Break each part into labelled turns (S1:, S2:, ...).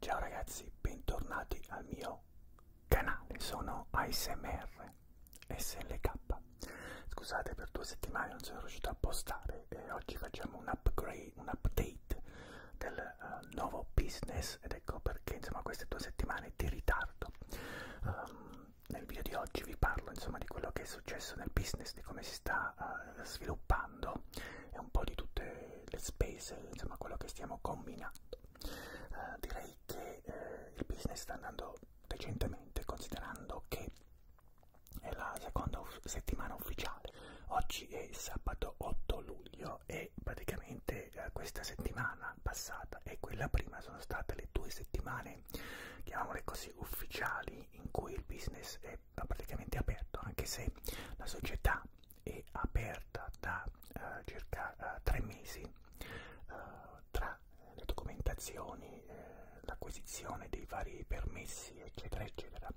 S1: Ciao ragazzi, bentornati al mio canale, sono ASMR SLK. Scusate per due settimane non sono riuscito a postare e oggi facciamo un upgrade, un update del uh, nuovo business ed ecco perché insomma queste due settimane di ritardo. Um, nel video di oggi vi parlo insomma di quello che è successo nel business, di come si sta uh, sviluppando e un po' di tutte le spese, insomma quello che stiamo combinando. Eh, direi che eh, il business sta andando decentemente considerando che è la seconda settimana ufficiale. Oggi è sabato 8 luglio e praticamente eh, questa settimana passata e quella prima sono state le due settimane, chiamiamole così, ufficiali in cui il business è praticamente aperto, anche se la società è aperta da eh, circa eh, tre mesi eh, tra le documentazioni, eh, l'acquisizione dei vari permessi, eccetera, eccetera.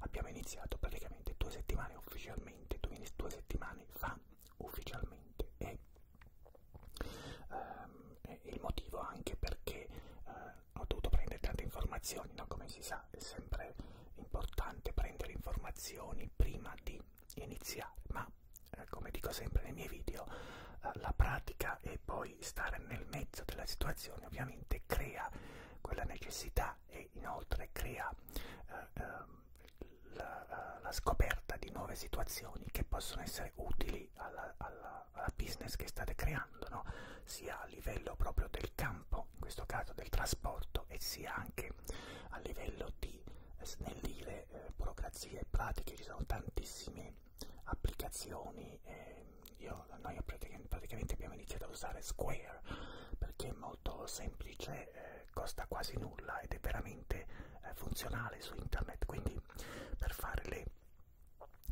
S1: Abbiamo iniziato praticamente due settimane ufficialmente, due settimane fa ufficialmente e ehm, il motivo anche perché eh, ho dovuto prendere tante informazioni, no? come si casa è sempre importante prendere informazioni prima di iniziare, ma eh, come dico sempre nei miei video, eh, la pratica e poi stare nel mezzo della situazione ovviamente crea quella necessità e inoltre crea eh, eh, la, la scoperta di nuove situazioni che possono essere utili alla, alla, alla business che state creando, no? sia a livello proprio del campo campo, in questo caso del trasporto, e sia anche a livello di snellire eh, burocrazie e pratiche. Ci sono tantissime applicazioni. Eh, io, noi praticamente, praticamente abbiamo iniziato ad usare Square perché è molto semplice, eh, costa quasi nulla ed è veramente eh, funzionale su internet. Quindi per fare le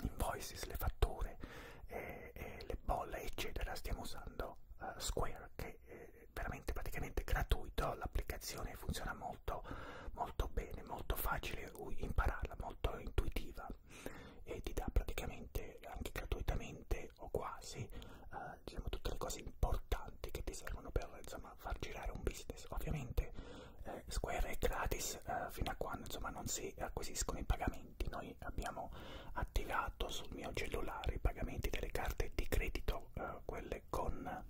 S1: invoices, le fatture, eh, eh, le bolle, eccetera, stiamo usando eh, Square che eh, è veramente praticamente gratuito, l'applicazione funziona molto, molto bene, molto facile impararla, molto intuitiva e ti dà praticamente anche gratuitamente o quasi eh, diciamo, tutte le cose importanti che ti servono per insomma, far girare un business. Ovviamente eh, Square è gratis eh, fino a quando insomma, non si acquisiscono i pagamenti. Noi abbiamo attivato sul mio cellulare i pagamenti delle carte di credito, eh, quelle con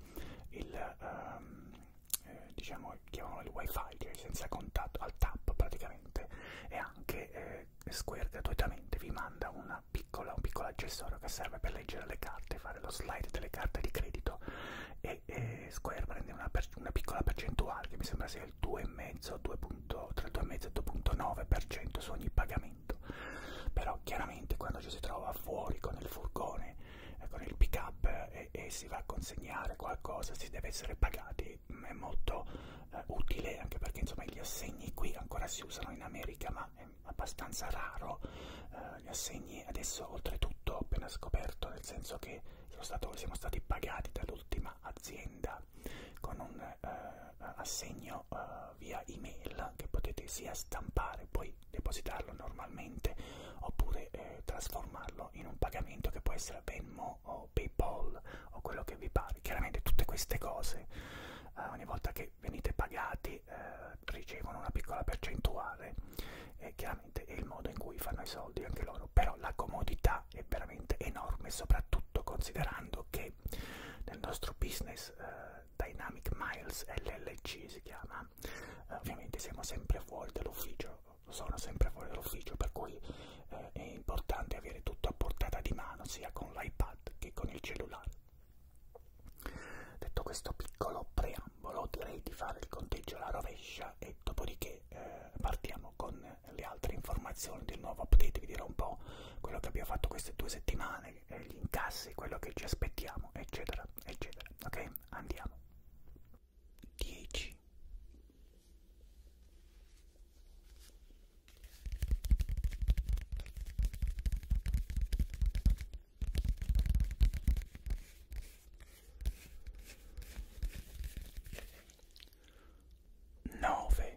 S1: il, ehm, eh, diciamo, chiamano il wifi, cioè senza contatto, al tap praticamente, e anche eh, Square gratuitamente vi manda una piccola, un piccolo accessorio che serve per leggere le carte, fare lo slide delle carte di credito e eh, Square prende una, per, una piccola percentuale che mi sembra sia il 2,5, 2.3, 2,5, 2.9% su ogni pagamento fatto però chiaramente quando ci si trova fuori con il furgone eh, con il pick up eh, e si va a consegnare qualcosa si deve essere pagati mm, è molto eh, utile anche perché insomma gli assegni qui ancora si usano in America ma è abbastanza raro eh, gli assegni adesso oltretutto ho appena scoperto nel senso che sono stato, siamo stati pagati dall'ultima azienda con un eh, assegno arrivano uh, eh, via email che potete sia stampare poi depositarlo normalmente oppure eh, trasformarlo in un pagamento che può essere Venmo o Paypal o quello che vi pare. Chiaramente tutte queste cose uh, ogni volta che venite pagati uh, ricevono una piccola percentuale e chiaramente è il modo in cui fanno i soldi anche loro, però la comodità è veramente enorme soprattutto considerando che ok? Nel nostro business eh, Dynamic Miles LLC si chiama, eh, ovviamente siamo sempre fuori dall'ufficio, sono sempre fuori dall'ufficio, per cui eh, è importante avere tutto a portata di mano, sia con l'iPad che con il cellulare. Detto questo piccolo preambolo, direi di fare il conteggio alla rovescia e dopodiché eh, partiamo con le altre informazioni del nuovo update, vi dirò un po' quello che abbiamo fatto queste due settimane, gli incassi, quello che ci aspettiamo, eccetera, eccetera. Ok? Andiamo. 10 9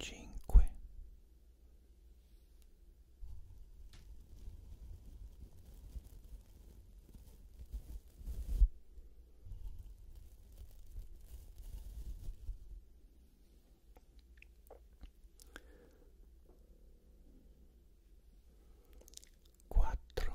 S1: Cinque Quattro.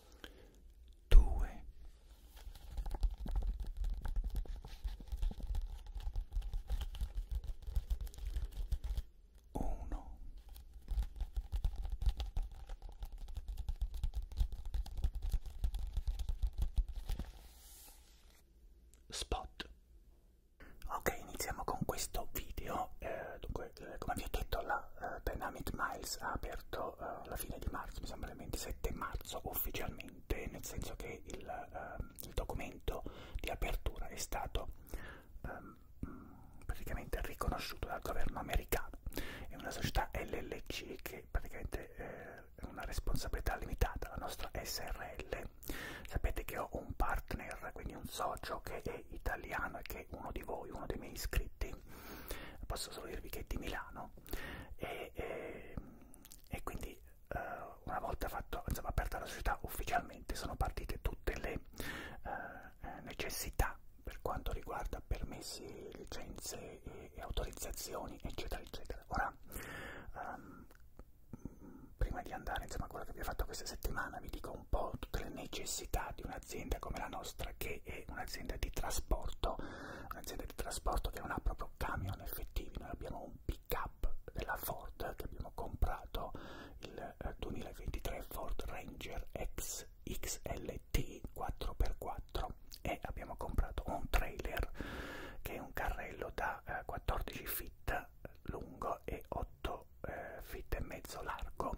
S1: due uno spot ok iniziamo con questo video eh, dunque eh, come vi ho detto la eh, Dynamic Miles ha per aperto uh, eh, alla fine di marzo, mi sembra il 27 marzo ufficialmente, nel senso che il, uh, il documento di apertura è stato um, praticamente riconosciuto dal governo americano. È una società LLC che praticamente eh, è una responsabilità limitata, la nostra SRL. Sapete che ho un partner, quindi un socio che è italiano e che è uno di voi, uno dei miei iscritti. Posso solo dirvi che è di Milano e, e, e quindi eh, una volta fatto, insomma, aperta la società ufficialmente sono partite tutte le eh, eh, necessità per quanto riguarda permessi, licenze e, e autorizzazioni eccetera eccetera. Ora, ehm, prima di andare insomma, a quello che abbiamo fatto questa settimana vi dico un po' tutte le necessità di un'azienda come la nostra che che è un'azienda di trasporto, un'azienda di trasporto che non ha proprio camion effettivi, noi abbiamo un pick up della Ford che abbiamo comprato il 2023 eh, Ford Ranger X XLT 4x4 e abbiamo comprato un trailer che è un carrello da eh, 14 feet lungo e 8 eh, feet e mezzo largo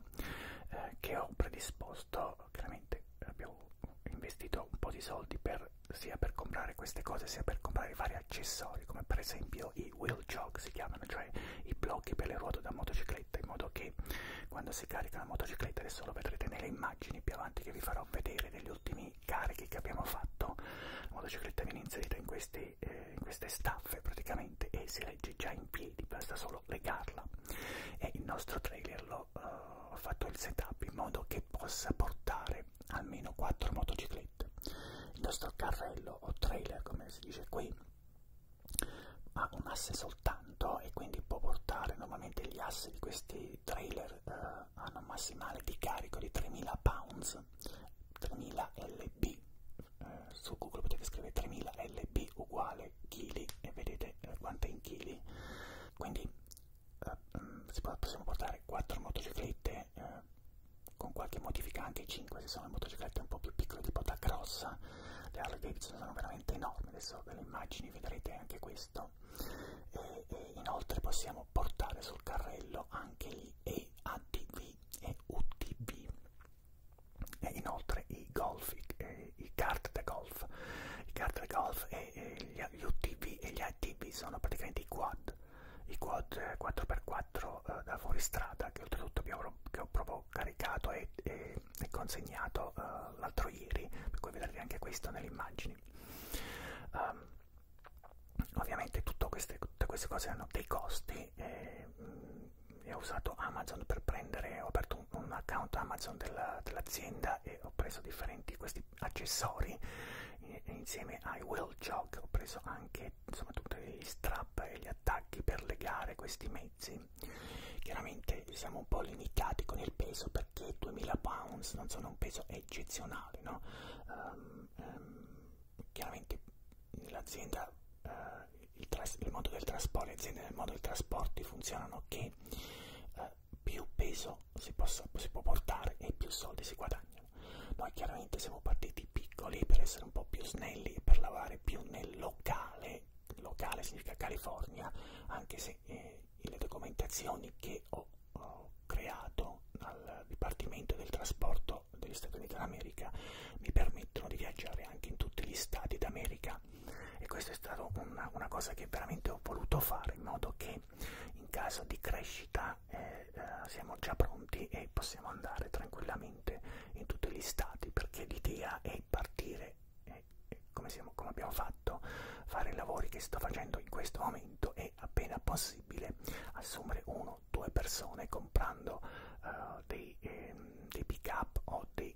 S1: eh, che ho predisposto chiaramente abbiamo investito un po' di soldi per, sia per comprare queste cose sia per comprare vari accessori come per esempio i wheel jog si chiamano cioè i blocchi per le ruote da motocicletta in modo che quando si carica la motocicletta adesso lo vedrete nelle immagini più avanti che vi farò vedere degli ultimi carichi che abbiamo fatto la motocicletta viene inserita in queste, eh, in queste staffe praticamente e si legge già in piedi basta solo solo legarla e il nostro trailer l'ho uh, eh, fatto il setup in modo che possa portare almeno 4 motociclette il nostro carrello o trailer come si dice qui ha un asse soltanto e quindi può portare normalmente gli assi di questi trailer uh, hanno un massimale di carico di 3000 pounds 3000 lb uh, su google potete scrivere 3000 lb uguale chili e vedete eh, quanto è in chili quindi eh, mm, possiamo portare 4 motociclette eh, con qualche modifica anche 5 se sono le motociclette un po' più piccole tipo da grossa le Harley Davidson sono veramente enormi adesso ve le immagini vedrete anche questo e, e inoltre possiamo portare sul carrello anche gli EADV e UTV e inoltre i Golf e eh, i, i kart da golf. I kart da golf e, e gli, gli UTV e gli ATV sono praticamente i quad, i quad 4x4 eh, eh, da fuoristrada che oltretutto abbiamo, che ho proprio caricato e, e, e consegnato eh, l'altro ieri, per cui vedrete anche questo nelle immagini. Um, ovviamente queste, tutte queste cose hanno dei costi. E, mh, mm, ho usato Amazon per prendere, ho aperto un, un account Amazon dell'azienda Ikea e ho preso differenti questi accessori insieme ai wheel jog ho preso anche insomma tutti gli strap e gli attacchi per legare questi mezzi chiaramente siamo un po' limitati con il peso perché 2000 pounds non sono un peso eccezionale no? Um, um, chiaramente l'azienda uh, il, il modo del trasporto le aziende del modo dei trasporti funzionano che uh, più peso si, possa, si può portare e più soldi si guadagnano. Noi chiaramente siamo partiti piccoli per essere un po' più snelli e per lavorare più nel locale, locale significa California, anche se eh, le documentazioni che ho, ho creato al Dipartimento del Trasporto degli Stati Uniti d'America mi permettono di viaggiare anche in tutti gli stati d'America società e questa è stata una, una cosa che veramente ho voluto fare in modo che in caso di crescita eh, eh, siamo già pronti e possiamo andare tranquillamente in tutti gli stati perché l'idea è partire eh, come, siamo, come abbiamo fatto fare i lavori che sto facendo in questo momento e appena possibile assumere uno due persone comprando eh, dei, eh, dei pick up o dei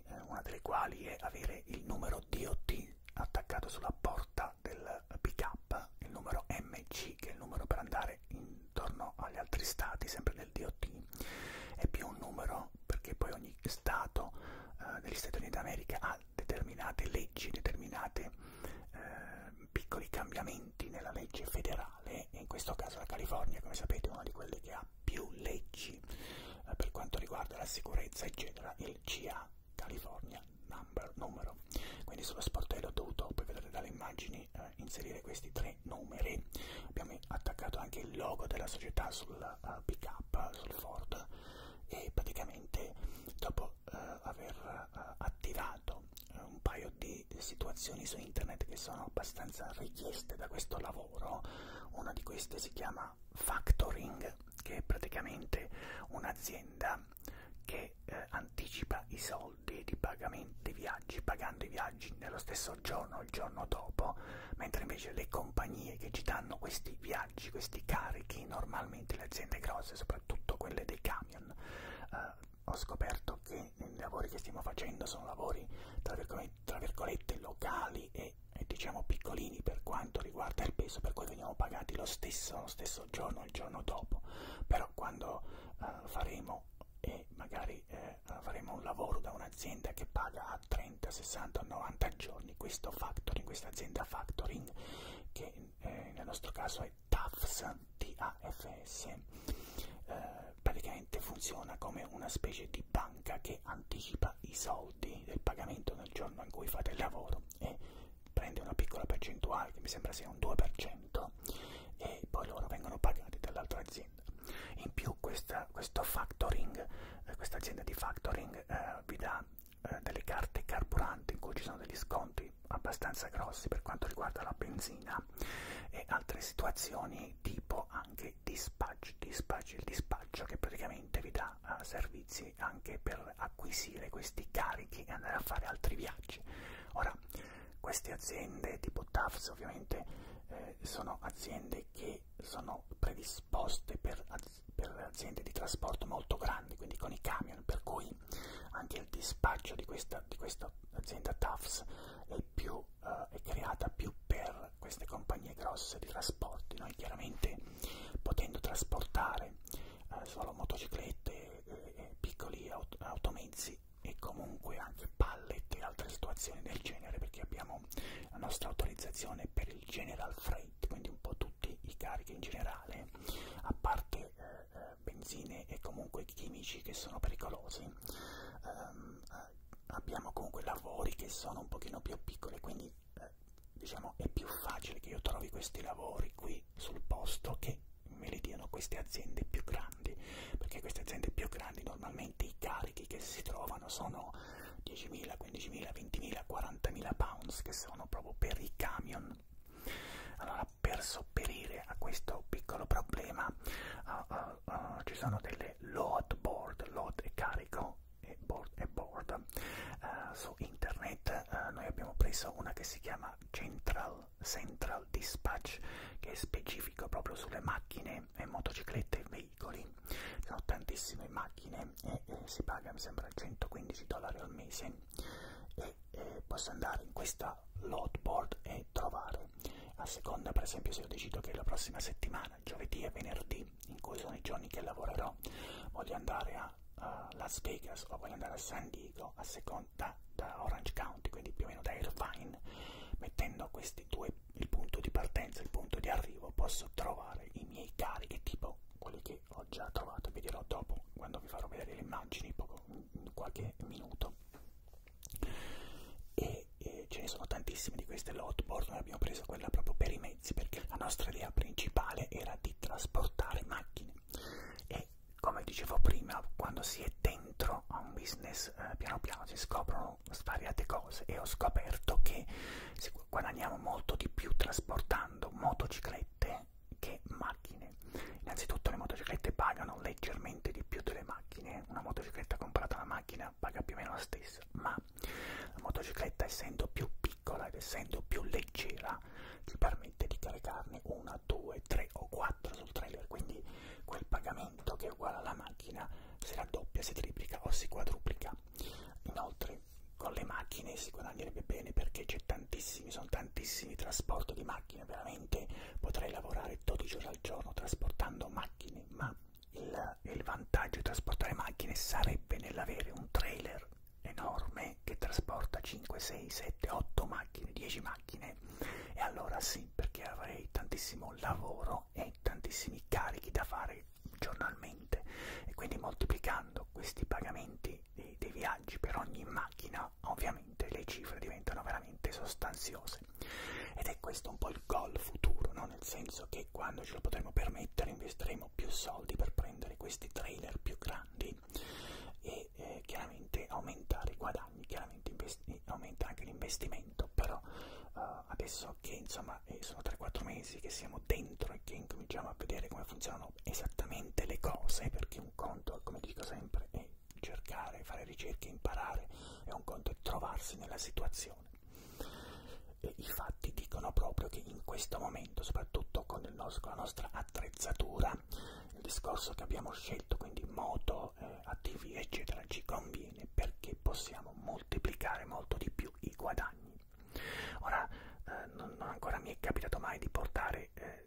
S1: funzioni, eh, una delle quali è avere il numero DOT attaccato sulla porta del pick up, il numero MC che è il numero per andare intorno agli altri stati, sempre del DOT, e più un numero perché poi ogni stato eh, degli Stati Uniti d'America ha determinate leggi, determinate eh, piccoli cambiamenti nella legge federale, e in questo caso la California, come sapete, è una di quelle che ha più leggi eh, per quanto riguarda la sicurezza eccetera il CA California number, numero quindi sullo sportello ho dovuto poi vedete dalle immagini eh, inserire questi tre numeri abbiamo attaccato anche il logo della società sul uh, pick up sul Ford e praticamente dopo uh, aver uh, attivato un paio di situazioni su internet che sono abbastanza richieste da questo lavoro loro. Una di queste si chiama Factoring, che è praticamente un'azienda che eh, anticipa i soldi di pagamento dei viaggi, pagando i viaggi nello stesso giorno o il giorno dopo, mentre invece le compagnie che ci danno questi viaggi, questi carichi, normalmente le aziende grosse, soprattutto quelle dei camion, eh, ho scoperto che i lavori che stiamo facendo sono lavori tra virgolette, tra virgolette locali e che eh, è diciamo piccolini per quanto riguarda il peso, per cui veniamo pagati lo stesso, lo stesso giorno, il giorno dopo, però quando uh, faremo e magari eh, faremo un lavoro da un'azienda che paga a 30, 60, 90 giorni questo factoring, questa azienda factoring che eh, nel nostro caso è TAFS, TAFS, eh, praticamente funziona come una specie di banca che anticipa i soldi del pagamento nel giorno in cui fate il lavoro e prende una piccola percentuale che mi sembra sia un 2% e poi loro vengono pagati dall'altra azienda. In più questa, questo factoring, eh, questa azienda di factoring eh, vi dà eh, delle carte carburanti in cui ci sono degli sconti abbastanza grossi per quanto riguarda la benzina e altre situazioni tipo anche anche dispatch, dispatch, il dispaccio che praticamente vi dà uh, servizi anche per acquisire questi carichi e andare a fare altri viaggi. Ora, queste aziende tipo TAFS ovviamente eh, sono aziende che sono predisposte per, az per aziende di trasporto molto grandi, quindi con i camion, per cui anche il dispaccio di questa, di questa azienda TAFS è più eh, è creata più per queste compagnie grosse di trasporti. Noi chiaramente potendo trasportare eh, solo motociclette, eh, piccoli aut automezzi e comunque anche pallet e altre situazioni del genere perché abbiamo la nostra autorizzazione per il general freight, quindi un po' tutti i carichi in generale, a parte eh, eh benzine e comunque chimici che sono pericolosi. Um, abbiamo comunque lavori che sono un pochino più piccoli, quindi eh, diciamo è più facile che io trovi questi lavori qui sul posto che me li diano queste aziende più grandi, perché queste aziende più grandi normalmente i carichi che si trovano sono 10.000, 15.000, 20.000, 40.000 pounds, che sono proprio per i camion. Allora, per sopperire a questo piccolo problema, uh, uh, uh, ci sono delle load board, load e carico, no, è board, è board. Uh, eh, su internet uh, noi abbiamo preso una che si chiama Central, Central Dispatch che è specifico proprio sulle macchine e motociclette e veicoli sono tantissime macchine e, e si paga mi sembra 115 dollari al mese e, e posso andare in questa load board e trovare a seconda per esempio se io decido che la prossima settimana giovedì e venerdì, in cui sono i giorni che lavorerò, voglio andare a uh, Las Vegas o voglio andare a San Diego, a seconda da Orange County, quindi più o meno da Irvine, mettendo questi due, il punto di partenza e il punto di arrivo, posso trovare i miei cari che tipo quelli che ho già trovato, vi dirò dopo quando vi farò vedere le immagini, poco, in qualche minuto. E e, e ce ne sono tantissime di queste lotboard, noi abbiamo preso quella proprio per i mezzi perché la nostra idea principale era di trasportare macchine e come dicevo prima quando si è dentro a un business eh, piano piano si scoprono svariate cose e ho scoperto che guadagniamo molto di più trasportando motociclette che macchine innanzitutto le motociclette pagano leggermente di più delle macchine una motocicletta comprata alla macchina macchina paga più o meno la stessa, ma la motocicletta essendo più piccola ed essendo più leggera ti permette di caricarne una, due, tre o quattro sul trailer, quindi quel pagamento che è uguale alla macchina si raddoppia, si triplica o si quadruplica. Inoltre con le macchine si guadagnerebbe bene perché c'è tantissimi, sono tantissimi trasporti di macchine, veramente potrei lavorare 12 ore al giorno trasportando macchine, ma il, il vantaggio di trasportare macchine sarebbe nell'avere un trailer enorme che trasporta 5, 6, 7, 8 macchine, 10 macchine e allora sì perché avrei tantissimo lavoro e tantissimi carichi da fare giornalmente e quindi moltiplicando questi pagamenti dei, dei viaggi per ogni macchina ovviamente le cifre diventano veramente sostanziose ed è questo un po' il sul gol futuro, no? nel senso che quando ce lo potremo permettere investiremo più soldi per prendere questi trailer più grandi e eh, chiaramente aumentare i guadagni, chiaramente eh, aumenta anche l'investimento, però eh, adesso che insomma eh, sono 3-4 mesi che siamo dentro e che incominciamo a vedere come funzionano esattamente le cose, perché un conto, come dico sempre, è cercare, fare ricerche, imparare, e un conto è trovarsi nella situazione eh, i fatti dicono proprio che in questo momento, soprattutto con, il nostro, con la nostra attrezzatura, il discorso che abbiamo scelto, quindi moto, eh, ATV eccetera, ci conviene perché possiamo moltiplicare molto di più i guadagni. Ora, eh, non, non ancora mi è capitato mai di portare eh,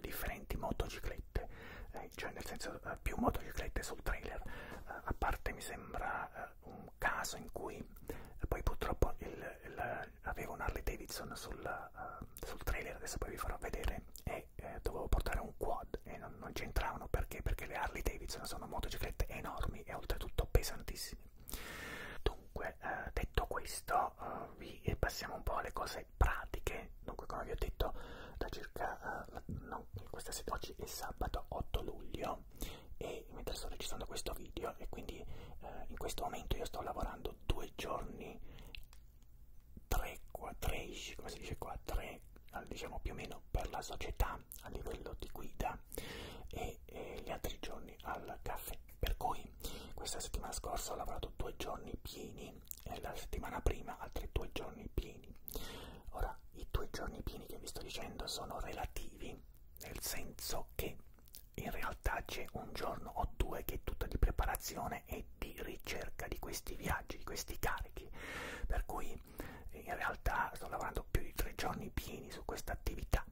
S1: differenti motociclette, eh, cioè nel senso eh, più motociclette sul trailer, eh, a parte mi sembra eh, un caso in cui eh, poi purtroppo il, il, avevo un Harley Davidson sul, uh, sul trailer, adesso poi vi farò vedere, e eh, dovevo portare un quad e non, non c'entravano perché? Perché le Harley Davidson sono motociclette enormi e oltretutto pesantissime. Dunque, eh, detto questo, eh, vi passiamo un po' alle cose pratiche. Dunque, come vi ho detto, da circa eh, no, questa sera, oggi è sabato 8 luglio, e mentre sto registrando questo video e quindi eh, in questo momento io sto lavorando due giorni 3 13 come si dice qua 3 diciamo più o meno per la società a livello di guida e, e gli altri giorni al caffè per cui questa settimana scorsa ho lavorato due giorni pieni e la settimana prima altri due giorni pieni ora i due giorni pieni che vi sto dicendo sono relativi nel senso che in realtà c'è un giorno o due che è tutta di preparazione e di ricerca di questi viaggi, di questi carichi, per cui in realtà sto lavorando più di tre giorni pieni su questa attività,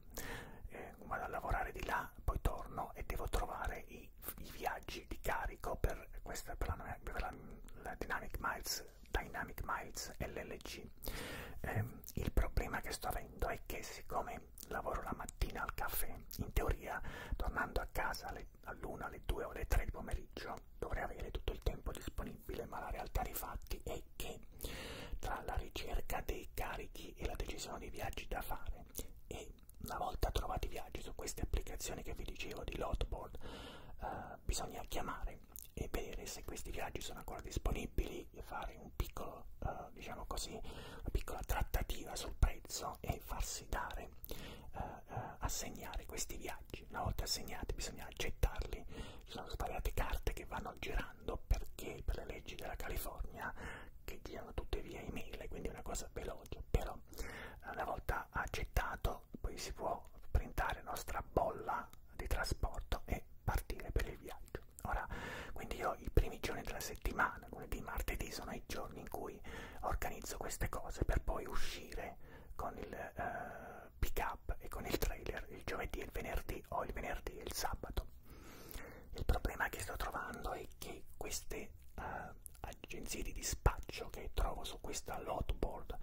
S1: eh, vado a lavorare di là, poi torno e devo trovare i, i viaggi di carico per, questa, per, la, per la, la Dynamic Miles Miles, Dynamic Miles LLC. Eh, il problema che sto avendo è che siccome lavoro la mattina al caffè, in teoria tornando a casa all'una, alle 2 o alle 3 del pomeriggio dovrei avere tutto il tempo disponibile, ma la realtà dei fatti è che tra la ricerca dei carichi e la decisione dei viaggi da fare e una volta trovati i viaggi su queste applicazioni che vi dicevo di Lotboard, eh, bisogna chiamare e vedere se questi viaggi sono ancora disponibili e fare un piccolo, uh, diciamo così, una piccola trattativa sul prezzo e farsi dare, uh, uh, assegnare questi viaggi. Una volta assegnati bisogna accettarli, ci sono svariate carte che vanno girando perché per le leggi della California che girano tutte via email, quindi è una cosa veloce, però una volta accettato poi si può printare la nostra bolla di trasporto e partire per il viaggio. Ora, quindi io i primi giorni della settimana, lunedì, martedì, sono i giorni in cui organizzo queste cose per poi uscire con il eh, pick up e con il trailer il giovedì e il venerdì o il venerdì e il sabato. Il problema che sto trovando è che queste eh, agenzie di dispaccio che trovo su questa lotboard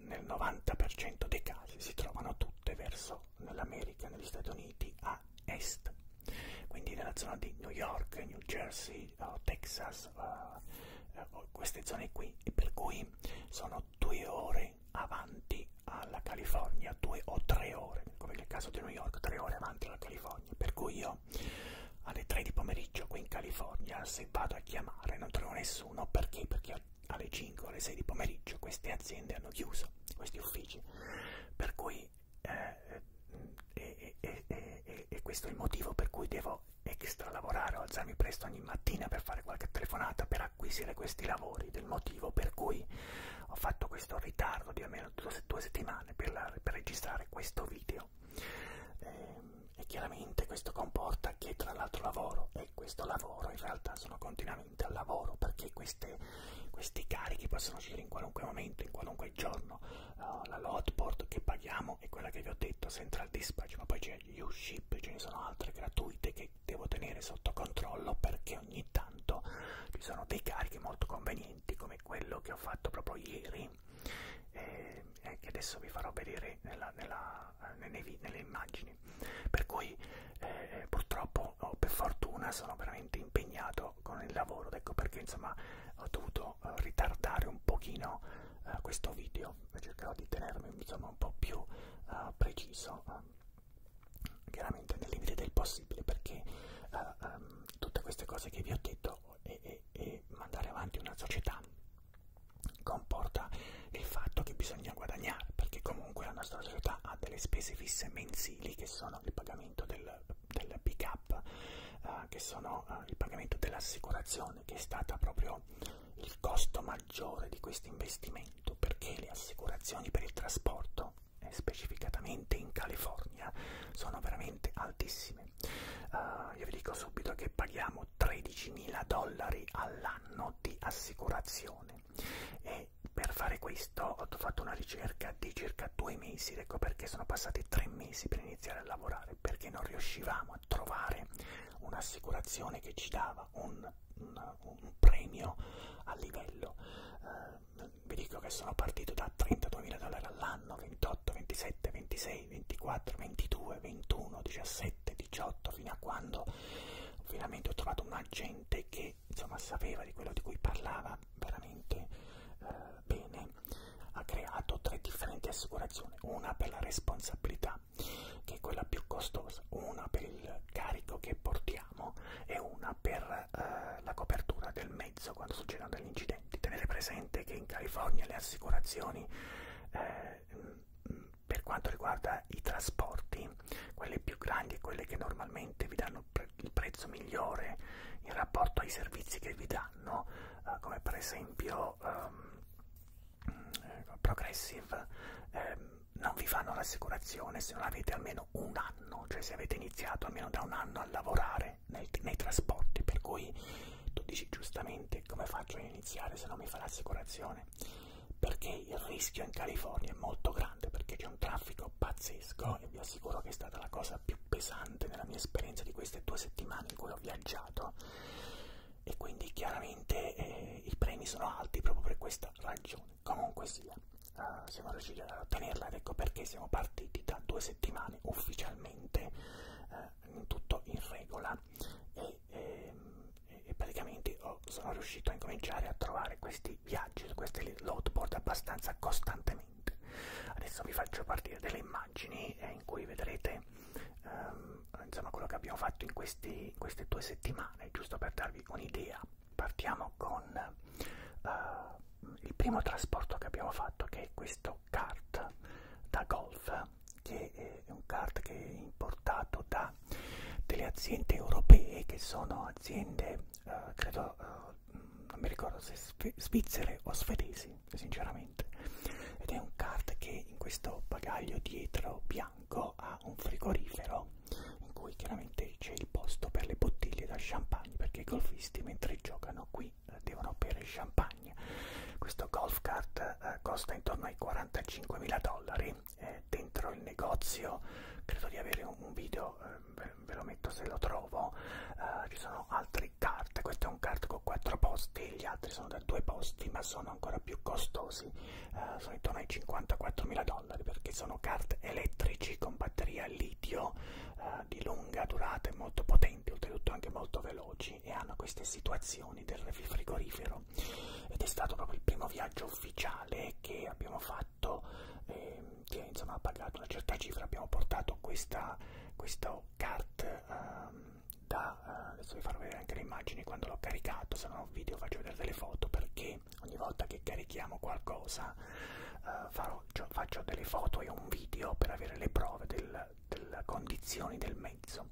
S1: nel 90% dei casi si trovano tutte verso stato nell'America, negli Stati Uniti, a est, quindi nella zona di New York, New Jersey, uh, Texas, uh, uh, queste zone qui, e per cui sono due ore avanti alla California, due o tre ore, come nel caso di New York, tre ore avanti alla California, per cui io alle 3 di pomeriggio qui in California se vado a chiamare non trovo nessuno perché? Perché ho alle 5 alle 6 di pomeriggio queste aziende hanno chiuso questi uffici per cui eh, eh e, e, e, e questo è il motivo per cui devo extra lavorare o alzarmi presto ogni mattina per fare qualche telefonata per acquisire questi lavori del motivo per cui ho fatto questo ritardo di almeno due, due settimane per, la, per registrare questo video e, ehm, e chiaramente questo comporta che tra l'altro lavoro e questo lavoro in realtà sono continuamente direttamente al lavoro perché queste, questi carichi possono uscire in qualunque momento, in qualunque giorno. Uh, la hotport che paghiamo è quella che vi ho detto, Central Dispatch, ma poi c'è U-Ship, ce ne sono altre gratuite che devo tenere sotto controllo perché ogni tanto ci sono dei carichi molto convenienti come quello che ho fatto proprio ieri e eh, eh, che adesso vi farò vedere nella, nella, nelle, nelle immagini anni. Per cui eh, purtroppo o per fortuna sono veramente impegnato con il lavoro, ecco perché insomma ho dovuto eh, ritardare un pochino eh, questo video, cercherò di tenermi insomma un po' più eh, preciso, eh, chiaramente nel limite del possibile perché eh, ehm, tutte queste cose che vi ho detto e, e, e mandare avanti una società comporta il fatto che bisogna guadagnare, perché comunque la nostra società ha delle spese fisse mensili che sono il pagamento del, del pick up, eh, che sono eh, il pagamento dell'assicurazione, che è stata proprio il costo maggiore di questo investimento, perché le assicurazioni per il trasporto, eh, specificatamente in California, sono veramente altissime. Uh, io vi dico subito che paghiamo 13.000 dollari all'anno di assicurazione e e per fare questo ho fatto una ricerca di circa due mesi, ecco perché sono passati tre mesi per iniziare a lavorare, perché non riuscivamo a trovare un'assicurazione che ci dava un, un, un premio a livello. Eh, vi dico che sono partito da 32.000 dollari all'anno, 28, 27, 26, 24, 22, 21, 17, 18, fino a quando veramente ho trovato un agente che insomma sapeva di quello di cui parlava veramente eh, bene ha creato tre differenti assicurazioni una per la responsabilità che è quella più costosa una per il carico che portiamo e una per eh, la copertura del mezzo quando succedono degli incidenti tenete presente che in California le assicurazioni eh, per quanto riguarda i trasporti, quelle più grandi e quelle che normalmente vi danno pre il prezzo migliore in rapporto ai servizi che vi danno, eh, come per esempio ehm, mm, Progressive, ehm, non vi fanno l'assicurazione se non avete almeno un anno, cioè se avete iniziato almeno da un anno a lavorare nel, nei trasporti, per cui tu dici giustamente come faccio a iniziare se non mi fa l'assicurazione perché il rischio in California è molto grande perché c'è un traffico pazzesco e vi assicuro che è stata la cosa più pesante nella mia esperienza di queste due settimane in cui ho viaggiato e quindi chiaramente eh, i premi sono alti proprio per questa ragione comunque sia uh, siamo riusciti ad ottenerla ed ecco perché siamo partiti da due settimane ufficialmente uh, tutto in regola e ehm, e praticamente ho, sono riuscito a incominciare a trovare questi viaggi su queste loadboard abbastanza costantemente. Adesso vi faccio partire delle immagini eh, in cui vedrete ehm, insomma, quello che abbiamo fatto in, questi, in, queste due settimane, giusto per darvi un'idea. Partiamo con eh, il primo trasporto che abbiamo fatto, che è questo kart da golf, che è un kart che è importato da realtà delle aziende europee che sono aziende, eh, credo, eh, non mi ricordo se svizzere o svedesi, sinceramente. Ed è un card che in questo bagaglio dietro bianco ha un frigorifero in cui chiaramente c'è il posto per le bottiglie da champagne perché i golfisti mentre giocano qui eh, devono bere champagne. Questo golf card eh, costa intorno ai 45.000 dollari eh, dentro il negozio credo di avere un, un video eh, ve lo metto se lo trovo eh, ci sono altre carte questo è un card con 4 posti gli altri sono da 2 posti ma sono ancora più costosi eh, sono intorno ai 54 mila dollari perché sono carte elettrici con batteria litio eh, di lunga durata e molto potenti oltretutto anche molto veloci e hanno queste situazioni del frigorifero ed è stato proprio il primo viaggio ufficiale che abbiamo fatto fatto, eh, che insomma ha pagato una certa cifra, abbiamo portato questa, questa cart ehm, da, eh, adesso vi farò vedere anche le immagini quando l'ho caricato, se non ho video faccio vedere delle foto perché ogni volta che carichiamo qualcosa eh, farò, cioè, faccio delle foto e un video per avere le prove del, delle condizioni del mezzo.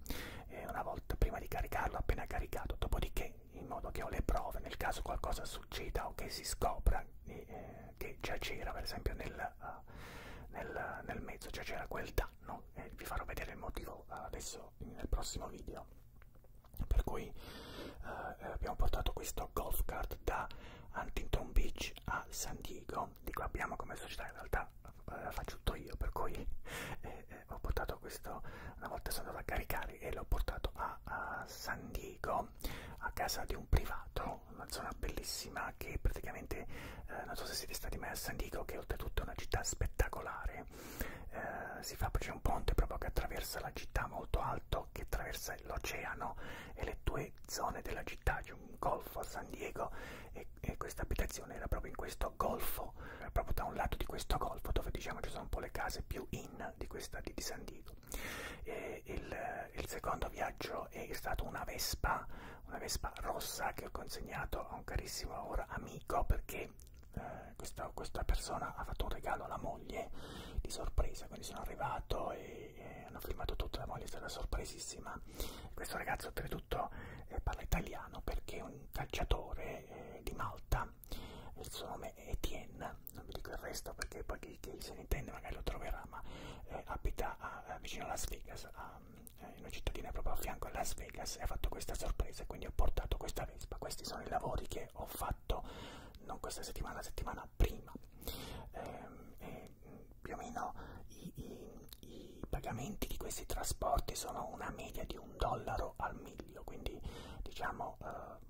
S1: Eh, una volta prima di caricarlo, appena caricato, dopodiché in modo che ho le prove nel caso qualcosa succeda o che si scopra eh, che già c'era per esempio nel, uh, nel, nel mezzo, già c'era quel danno e eh, vi farò vedere il motivo uh, adesso nel prossimo video. Per cui uh, abbiamo portato questo golf cart da Huntington Beach a San Diego, dico abbiamo come società in realtà la faccio tutto io, per cui eh, eh, ho portato questo una volta sono andato a caricare e l'ho portato a, a San Diego a casa di un privato una zona bellissima che praticamente eh, non so se siete stati mai a San Diego che oltretutto è una città spettacolare eh, si fa c'è un ponte proprio che attraversa la città molto alto che attraversa l'oceano e le due zone della città c'è un golfo a San Diego e, e questa abitazione era proprio in questo golfo proprio da un lato di questo golfo dove diciamo ci sono un po' le case più in Marina di questa di San Diego. E il, il secondo viaggio è stato una Vespa, una Vespa rossa che ho consegnato a un carissimo ora amico perché eh, questa, questa persona ha fatto un regalo alla moglie di sorpresa, quindi sono arrivato e, e hanno filmato tutto, la moglie è stata sorpresissima. Questo ragazzo oltretutto eh, parla italiano perché è un calciatore eh, di Malta Etienne il suo nome è Etienne non vi dico il resto perché poi chi, chi se ne intende magari lo troverà ma eh, abita a, a, eh, vicino a Las Vegas a, eh, in una cittadina proprio a fianco a Las Vegas e ha fatto questa sorpresa e quindi ho portato questa Vespa questi sono i lavori che ho fatto non questa settimana la settimana prima ehm, eh, più o meno i, i, i pagamenti di questi trasporti sono una media di un dollaro al miglio quindi diciamo eh,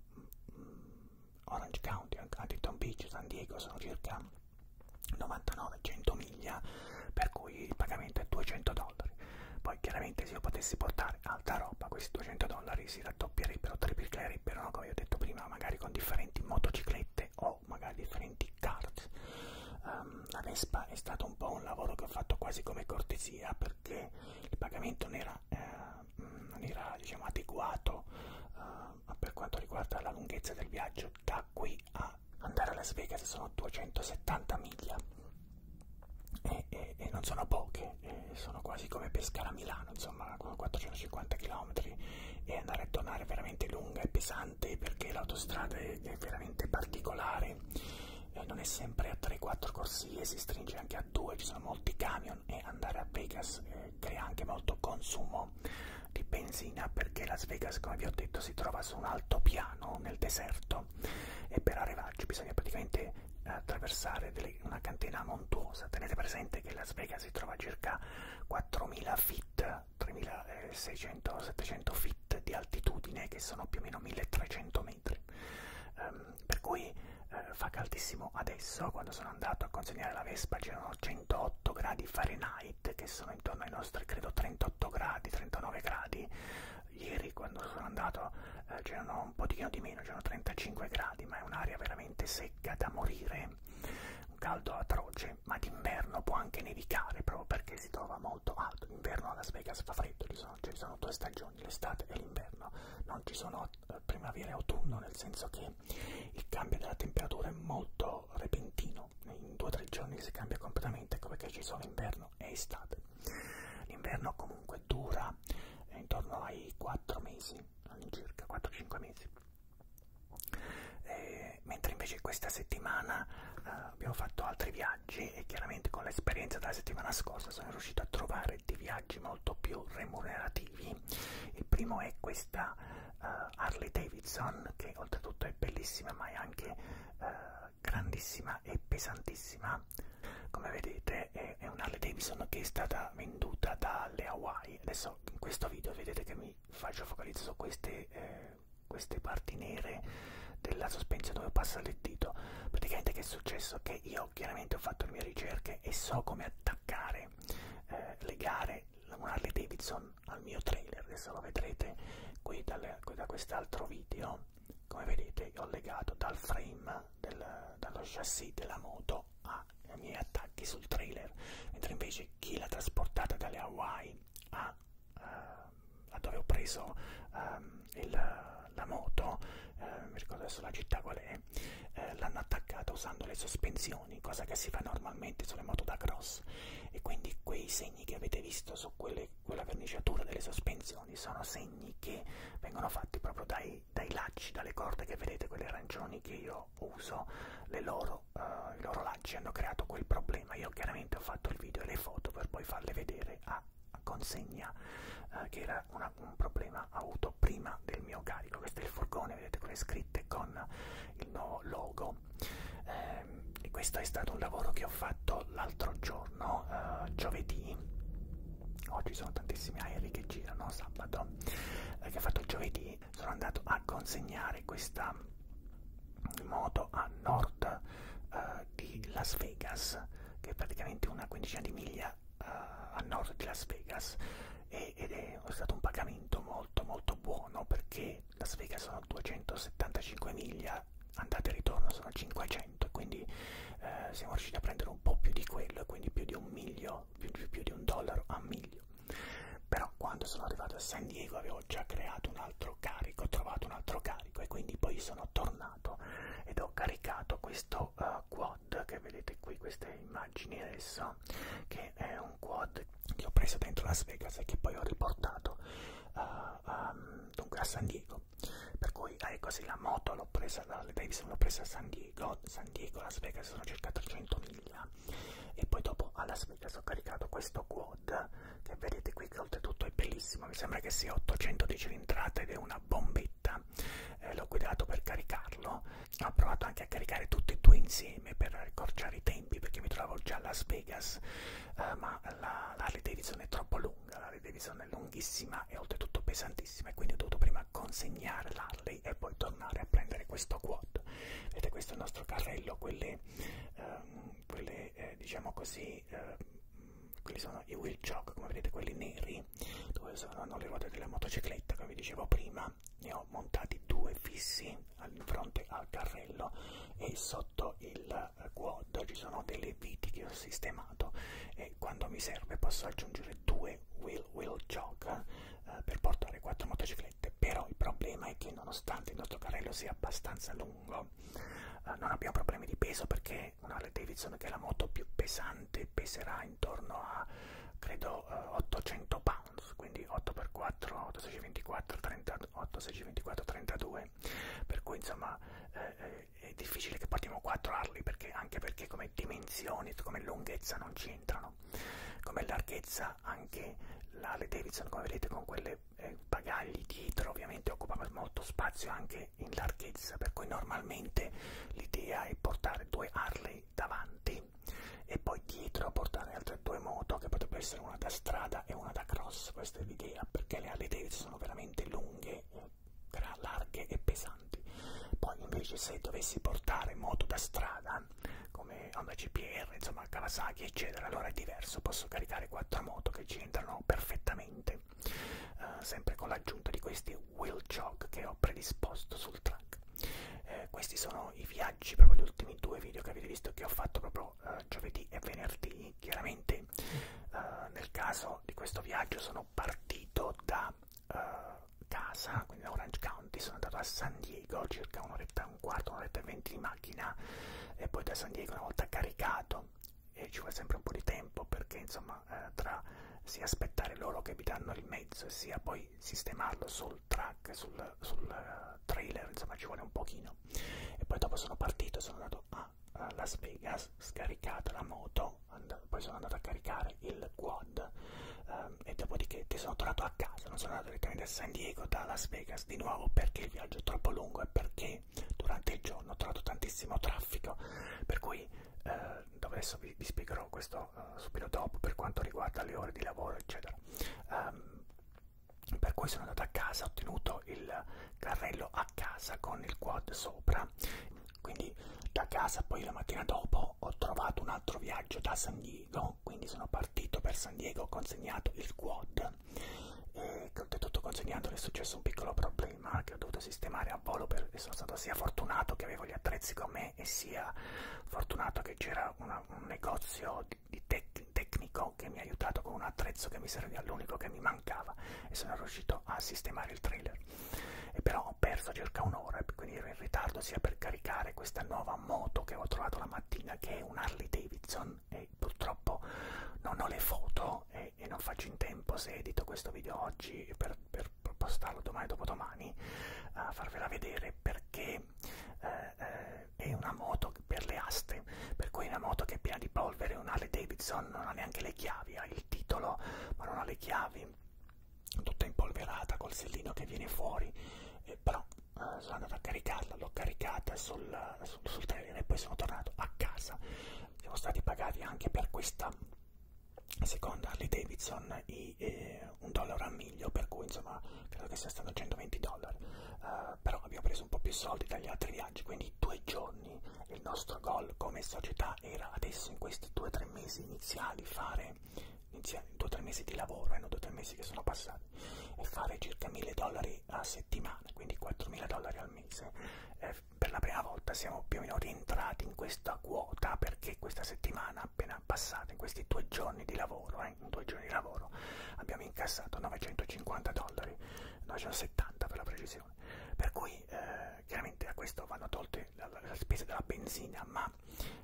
S1: Orange County, Huntington Beach, San Diego sono circa 99-100 miglia, per cui il pagamento è 200 dollari. Poi chiaramente se io potessi portare alta roba, questi 200 dollari si raddoppierebbero, triplicherebbero, no? come ho detto prima, magari con differenti motociclette o magari differenti cart. Um, ehm, la Vespa è stato un po' un lavoro che ho fatto quasi come cortesia perché il pagamento non era eh, in maniera diciamo, adeguata eh, per quanto riguarda la lunghezza del viaggio. Da qui a andare a Las Vegas sono 270 miglia e, e, e non sono poche, e sono quasi come pescare a Milano, insomma 450 km e andare a tornare è veramente lunga e pesante perché l'autostrada è, è veramente particolare, eh, non è sempre a 3-4 corsie, si stringe anche a due, ci sono molti camion e andare a Vegas eh, crea anche molto consumo di benzina perché Las Vegas, come vi ho detto, si trova su un altopiano nel deserto e per arrivarci bisogna praticamente eh, attraversare delle, una catena montuosa. Tenete presente che Las Vegas si trova a circa 4000 feet, 3600-700 eh, feet di altitudine che sono più o meno 1300 metri. Um, per cui eh, fa caldissimo adesso quando sono andato a consegnare la Vespa c'erano 108 gradi Fahrenheit che sono intorno ai nostri credo 38 gradi 39 gradi ieri quando sono andato eh, c'erano un pochino di meno c'erano 35 gradi ma è un'aria veramente secca da morire un caldo atroce ma d'inverno può anche nevicare proprio perché si trova molto alto l'inverno a Las Vegas fa freddo ci sono, ci sono due stagioni l'estate e l'inverno non ci sono primavera e autunno, nel senso che il cambio della temperatura è molto repentino, in due o tre giorni si cambia completamente, come che ci sono inverno e estate. L'inverno comunque dura eh, intorno ai 4 mesi, all'incirca 4-5 mesi. E, eh, mentre invece questa settimana eh, abbiamo fatto altri viaggi e chiaramente con l'esperienza della settimana scorsa sono riuscito a trovare dei viaggi molto più remunerativi. Il primo è questa uh, Harley Davidson, che oltretutto è bellissima, ma è anche uh, grandissima e pesantissima. Come vedete, è, è un'Harley Davidson che è stata venduta dalle Hawaii. Adesso in questo video vedete che mi faccio focalizzare su queste, eh, queste parti nere della sospensione dove passa il dito praticamente che è successo che io io chiaramente ho fatto le mie ricerche e so come attaccare, eh, legare un Harley Davidson al mio trailer, adesso lo vedrete qui, dal, qui da quest'altro video, come vedete ho legato dal frame, del, dallo chassis della moto ai miei attacchi sul trailer, mentre invece chi l'ha trasportata dalle Hawaii a, uh, eh, a dove ho preso um, il, la moto, uh, mi ricordo adesso la città qual è, comunque eh, l'hanno attaccata usando le sospensioni, cosa che si fa normalmente sulle moto da cross e quindi quei segni che avete visto su quelle, quella verniciatura delle sospensioni sono segni che vengono fatti proprio dai, dai lacci, dalle corde che vedete, quelle arancioni che io uso, le loro, uh, i loro lacci hanno creato quel problema, io chiaramente ho fatto il video e le foto per poi farle vedere a consegna uh, che era eh, una, un problema avuto prima del mio carico. Questo è il furgone, vedete con le scritte con il nuovo logo. Eh, questo è stato un lavoro che ho fatto l'altro giorno, eh, giovedì. Oggi sono tantissimi aerei che girano, sabato, eh, che ho fatto giovedì. Sono andato a consegnare questa moto a nord eh, di Las Vegas che è praticamente una quindicina di miglia California, uh, eh, a nord di Las Vegas e, ed è stato un pagamento molto molto buono perché Las Vegas sono 275 miglia, andate e ritorno sono 500, quindi uh, siamo riusciti a prendere un po' più di quello e quindi più di un miglio, più, più di un dollaro a miglio. Però quando sono arrivato a San Diego avevo già creato un altro carico, ho trovato un altro carico e quindi poi sono tornato ed ho caricato questo questo uh, quad che vedete qui, queste immagini adesso, che è un quad che ho preso dentro Las Vegas e che poi ho riportato uh, um, dunque a San Diego. Per cui ah, ecco sì, la moto l'ho presa dalle Davidson, l'ho presa a San Diego, San Diego, Las Vegas sono circa 300 miglia e poi dopo a Las Vegas ho caricato questo quad che vedete qui che oltretutto è bellissimo, mi sembra che sia 800 di cilindrata ed è una bombetta ma eh, l'ho guidato per caricarlo. Ho provato anche a caricare tutti e due insieme per accorciare i tempi perché mi trovavo già a Las Vegas, eh, ma la, la Harley Davidson è troppo lunga, la Harley Davidson è lunghissima e oltretutto pesantissima e quindi ho dovuto prima consegnare l'Harley e poi tornare a prendere questo quad. Vedete questo è il nostro carrello, quelle, ehm, quelle eh, diciamo così, eh, quelli sono i wheel jog, come vedete quelli neri lì dove sono arrivate delle motociclette che vi dicevo prima ne ho montati due fissi in fronte al carrello e sotto il eh, quad ci sono delle viti che ho sistemato e quando mi serve posso aggiungere due wheel wheel jog eh, per portare quattro motociclette però il problema è che nonostante il nostro carrello sia abbastanza lungo eh, non abbiamo problemi di peso perché una Harley Davidson che è la moto più pesante peserà intorno a credo 800 eh, pounds quindi 8x4 8,624 38 624 32 per cui insomma eh, eh è difficile che partiamo qua a trovarli perché anche perché come dimensioni come lunghezza non c'entrano come larghezza anche la le Davidson come vedete con quelle eh, bagagli dietro ovviamente occupa molto spazio anche in larghezza per cui normalmente l'idea è portare due Harley poi davanti e poi dietro portare altre due moto che potrebbero essere una da strada e una da cross, questa è l'idea, perché le Harley Davidson sono veramente lunghe, larghe e pesanti. Poi invece se dovessi portare moto da strada, come Honda CPR, insomma Kawasaki eccetera, allora è diverso, posso caricare quattro moto che ci entrano perfettamente, uh, sempre con l'aggiunta di questi wheel chock che ho predisposto sul track eh, questi sono i viaggi proprio gli ultimi due video che avete visto che ho fatto proprio eh, giovedì e venerdì chiaramente eh, nel caso di questo viaggio sono partito da eh, casa quindi da Orange County sono andato a San Diego circa un'oretta e un quarto un'oretta e venti di macchina e poi da San Diego una volta caricato e ci vuole sempre un po' di tempo perché insomma insomma, eh, tra sia aspettare loro che vi danno il mezzo e sia poi sistemarlo sul track, sul, sul uh, trailer, insomma ci vuole un pochino. E poi dopo sono partito, sono andato a, a Las Vegas, scaricato la moto, poi sono andato a caricare il quad um, e dopodiché sono tornato a casa, non sono andato direttamente a San Diego da Las Vegas di nuovo perché il viaggio è troppo lungo e perché durante il giorno ho trovato tantissimo traffico, per cui eh, dove adesso vi, vi spiegherò questo eh, subito dopo per quanto riguarda le ore di lavoro eccetera um, per cui sono andato a casa ho tenuto il carrello a casa con il quad sopra quindi da casa poi la mattina dopo ho trovato un altro viaggio da San Diego quindi sono partito per San Diego ho consegnato il quad e oltretutto consegnandolo è successo un piccolo problema che ho dovuto sistemare a volo per, e sono stato sia fortunato che avevo gli attrezzi con me me e sia fortunato che c'era un negozio di, di tec tecnico che mi ha aiutato con un attrezzo che mi serviva l'unico che mi mancava e sono riuscito a sistemare il trailer e però ho perso circa un'ora quindi ero in ritardo sia per caricare questa nuova moto che ho trovato la mattina che è un Harley Davidson e purtroppo non ho le foto e, e non faccio in tempo se edito questo video oggi per, per per postarlo domani dopodomani a farvela vedere perché eh, eh, è una moto per le aste per cui è una moto che è piena di polvere una Harley Davidson non ha neanche le chiavi ha il titolo ma non ha le chiavi tutta impolverata col sellino che viene fuori eh, però eh, sono andato a caricarla l'ho caricata sul, sul, sul trailer e poi sono tornato a casa siamo stati pagati anche per questa secondo Harley Davidson i, eh, un dollaro a miglio per cui insomma credo che sia stato 120 dollari uh, però abbiamo preso un po' più soldi dagli altri viaggi quindi due giorni il nostro goal come società era adesso in questi 2-3 mesi iniziali fare iniziali, 2-3 mesi di lavoro erano eh, 2-3 mesi che sono passati e fare circa 1000 dollari a settimana quindi 4000 dollari al mese eh, per la prima volta siamo più o meno rientrati in questa quota perché che questa settimana appena passata, in questi due giorni di lavoro, eh, in due giorni di lavoro abbiamo incassato 950 dollari, 970 per la precisione. Per cui eh, chiaramente a questo vanno tolte la, la, la spesa della benzina, ma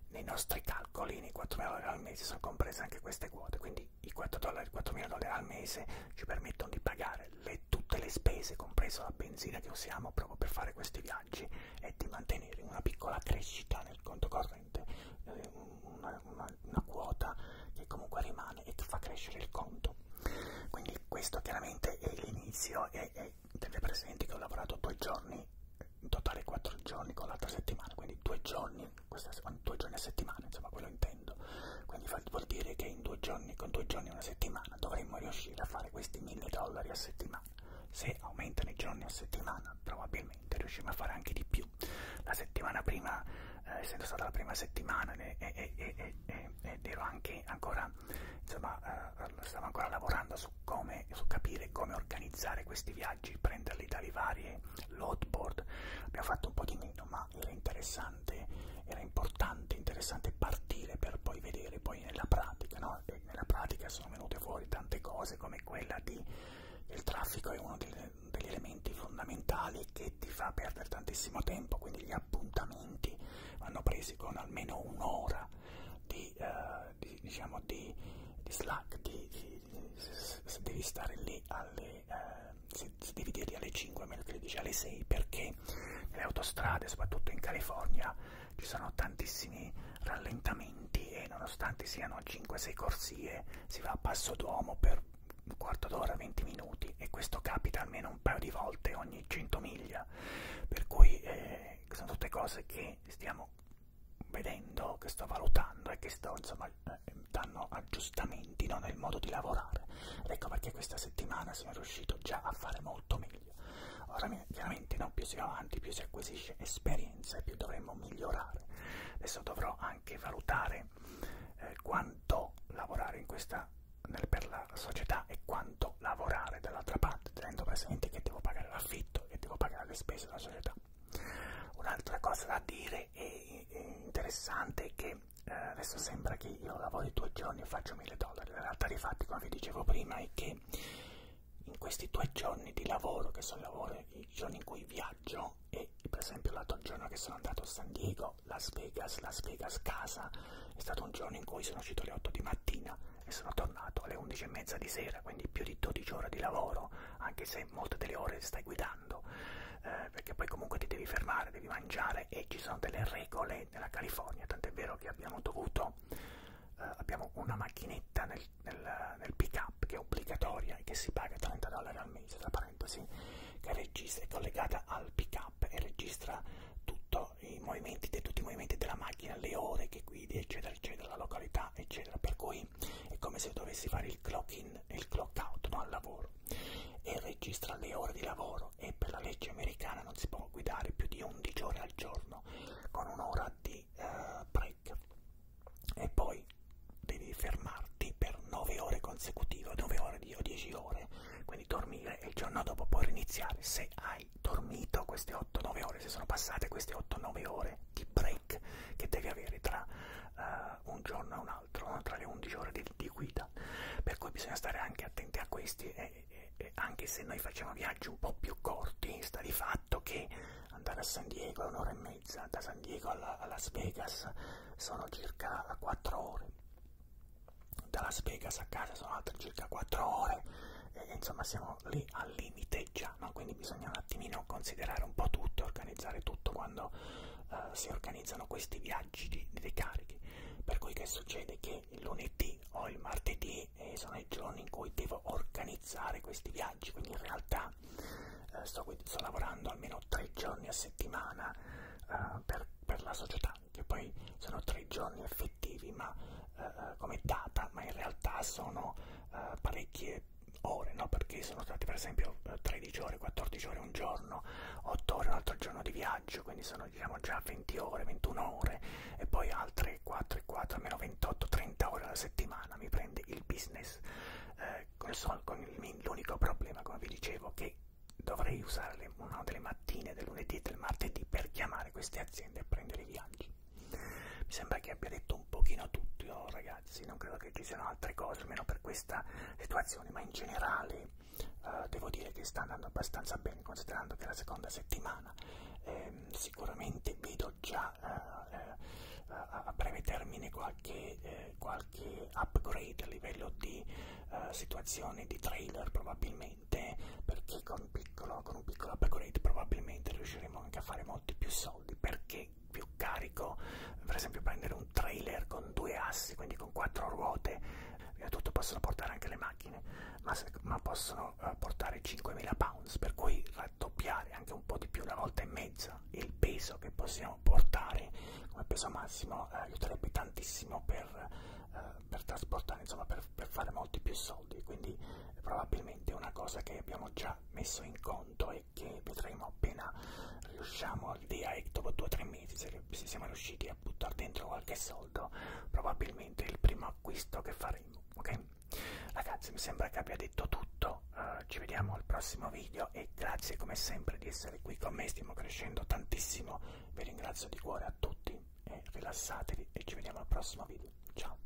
S1: nei nostri calcoli, nei 4.000 dollari al mese, sono comprese anche queste quote, quindi i 4.000 dollari, dollari al mese ci permettono di pagare le, tutte le spese, compreso la benzina che usiamo proprio per fare questi viaggi vantaggi è di mantenere una piccola crescita nel conto corrente, eh, una, una, una quota che comunque rimane e fa crescere il conto. Quindi questo chiaramente è l'inizio e, e tenete presente che ho lavorato due giorni, in totale quattro giorni con l'altra settimana, quindi due giorni, questa, due giorni a settimana, insomma quello intendo. Quindi vuol dire che in due giorni, con due giorni e una settimana dovremmo riuscire a fare questi 1000 dollari a settimana se aumentano i giorni a settimana probabilmente riusciamo a fare anche di più. La settimana prima, eh, essendo stata la prima settimana e, e, e, ed ero anche ancora, insomma, eh, stavo ancora lavorando su, come, su capire come organizzare questi viaggi, prenderli dalle varie loadboard, abbiamo fatto un po' di meno, ma era interessante, era importante, interessante partire per poi vedere poi nella pratica, no? no? E nella pratica sono venute fuori tante cose come quella di il traffico è uno delle, degli elementi fondamentali che ti fa perdere tantissimo tempo, quindi gli appuntamenti vanno presi con almeno un'ora di, eh, di, diciamo di, di slack, di, di, se, se devi stare lì alle, eh, se, se devi dirli alle 5 a meno che le dici alle 6 perché le autostrade, soprattutto in California, ci sono tantissimi rallentamenti e nonostante siano 5-6 corsie si va a passo d'uomo per un quarto d'ora, 20 minuti e questo capita almeno un paio di volte ogni 100 miglia, per cui eh, sono tutte cose che stiamo vedendo, che sto valutando e che sto insomma danno aggiustamenti no, nel modo di lavorare. Ed ecco perché questa settimana sono riuscito già a fare molto meglio meglio. Ora chiaramente no, più si va avanti, più si acquisisce esperienza e più dovremmo migliorare. Adesso dovrò anche valutare eh, quanto lavorare in questa, nel, per la società e quanto lavorare dall'altra parte, tenendo presente che devo pagare l'affitto e devo pagare le spese della società. Un'altra cosa da dire e interessante è che eh, adesso sembra che io lavori due giorni e faccio 1000 dollari. La realtà dei fatti, come vi dicevo prima, è che in questi due giorni di lavoro, che sono lavoro, i giorni in cui viaggio, e per esempio l'altro giorno che sono andato a San Diego, Las Vegas, Las Vegas casa, è stato un giorno in cui sono uscito alle 8 di mattina e sono tornato alle 11 e mezza di sera, quindi più di 12 ore di lavoro, anche se molte delle ore stai guidando, eh, perché poi comunque ti devi fermare, devi mangiare e ci sono delle regole nella California, tant'è vero che abbiamo dovuto, eh, abbiamo una macchinetta nel nel, nel pick up che è obbligatoria e che si paga 30 dollari al mese tra parentesi che registra, è collegata al pick up e registra tutto i movimenti, tutti i movimenti della macchina, le ore che guidi, eccetera, eccetera, la località, eccetera. Per cui è come se dovessi fare il clock in e il clock out no, al lavoro e registra le ore di lavoro e per la legge americana non si può guidare più di 11 ore al giorno con un'ora di e uh, break e poi devi fermarti per 9 ore consecutive 9 ore o 10 ore quindi dormire e il giorno dopo puoi riniziare se hai dormito queste 8-9 ore se sono passate queste 8-9 ore di break che devi avere tra uh, un giorno e un altro tra le 11 ore di, di guida per cui bisogna stare anche attenti a questi e, e eh, anche se noi facciamo viaggi un po' più corti, sta di fatto che andare a San Diego è un'ora e mezza, da San Diego alla, a Las Vegas sono circa 4 ore, da Las Vegas a casa sono altre circa 4 ore, e, insomma siamo lì al limite già, no? quindi bisogna un attimino considerare un po' tutto, organizzare tutto quando eh, si organizzano questi viaggi di, di carichi. Per cui che succede? Che il lunedì o il martedì e eh, sono i giorni in cui devo organizzare questi viaggi, quindi in realtà eh, sto, sto lavorando almeno tre giorni a settimana eh, per, per la società, che poi sono tre giorni effettivi ma eh, eh come data, ma in realtà sono eh, parecchie ore, no? perché sono stati per esempio 13 eh, ore, 14 ore un giorno, 8 ore un altro giorno di viaggio, quindi sono diciamo già 20 ore, 21 ore e poi altre 4 e 4, almeno 28-30 ore alla settimana mi prende il business eh, col sol, con l'unico problema come vi dicevo che dovrei usare le, una delle mattine del lunedì e del martedì per chiamare queste aziende e prendere i viaggi mi sembra che abbia detto un pochino tutti oh, ragazzi non credo che ci siano altre cose almeno per questa situazione ma in generale eh, devo dire che sta andando abbastanza bene considerando che è la seconda settimana eh, sicuramente vedo già eh, a, eh, a breve termine qualche, eh, qualche upgrade a livello di eh, situazione di trailer probabilmente perché con un, piccolo, con un piccolo upgrade probabilmente riusciremo anche a fare molti più soldi perché più carico per esempio prendere un trailer con due assi quindi con quattro ruote tutto possono portare anche le macchine ma, se, ma possono possono eh, portare 5.000 pounds, per cui raddoppiare anche un po' di più, una volta e mezza, il peso che possiamo portare come peso massimo eh, aiuterebbe tantissimo per, eh, per trasportare, insomma per, per fare molti più soldi, quindi eh, probabilmente una cosa che abbiamo già messo in conto e che vedremo appena riusciamo lì a, dopo 2-3 mesi, se, se siamo riusciti a buttare dentro qualche soldo, probabilmente il primo acquisto che faremo, ok? Ragazzi, mi sembra che abbia detto tutto. Uh, ci vediamo al prossimo video e grazie come sempre di essere qui con me. Stiamo crescendo tantissimo. Vi ringrazio di cuore a tutti e rilassatevi e ci vediamo al prossimo video. Ciao.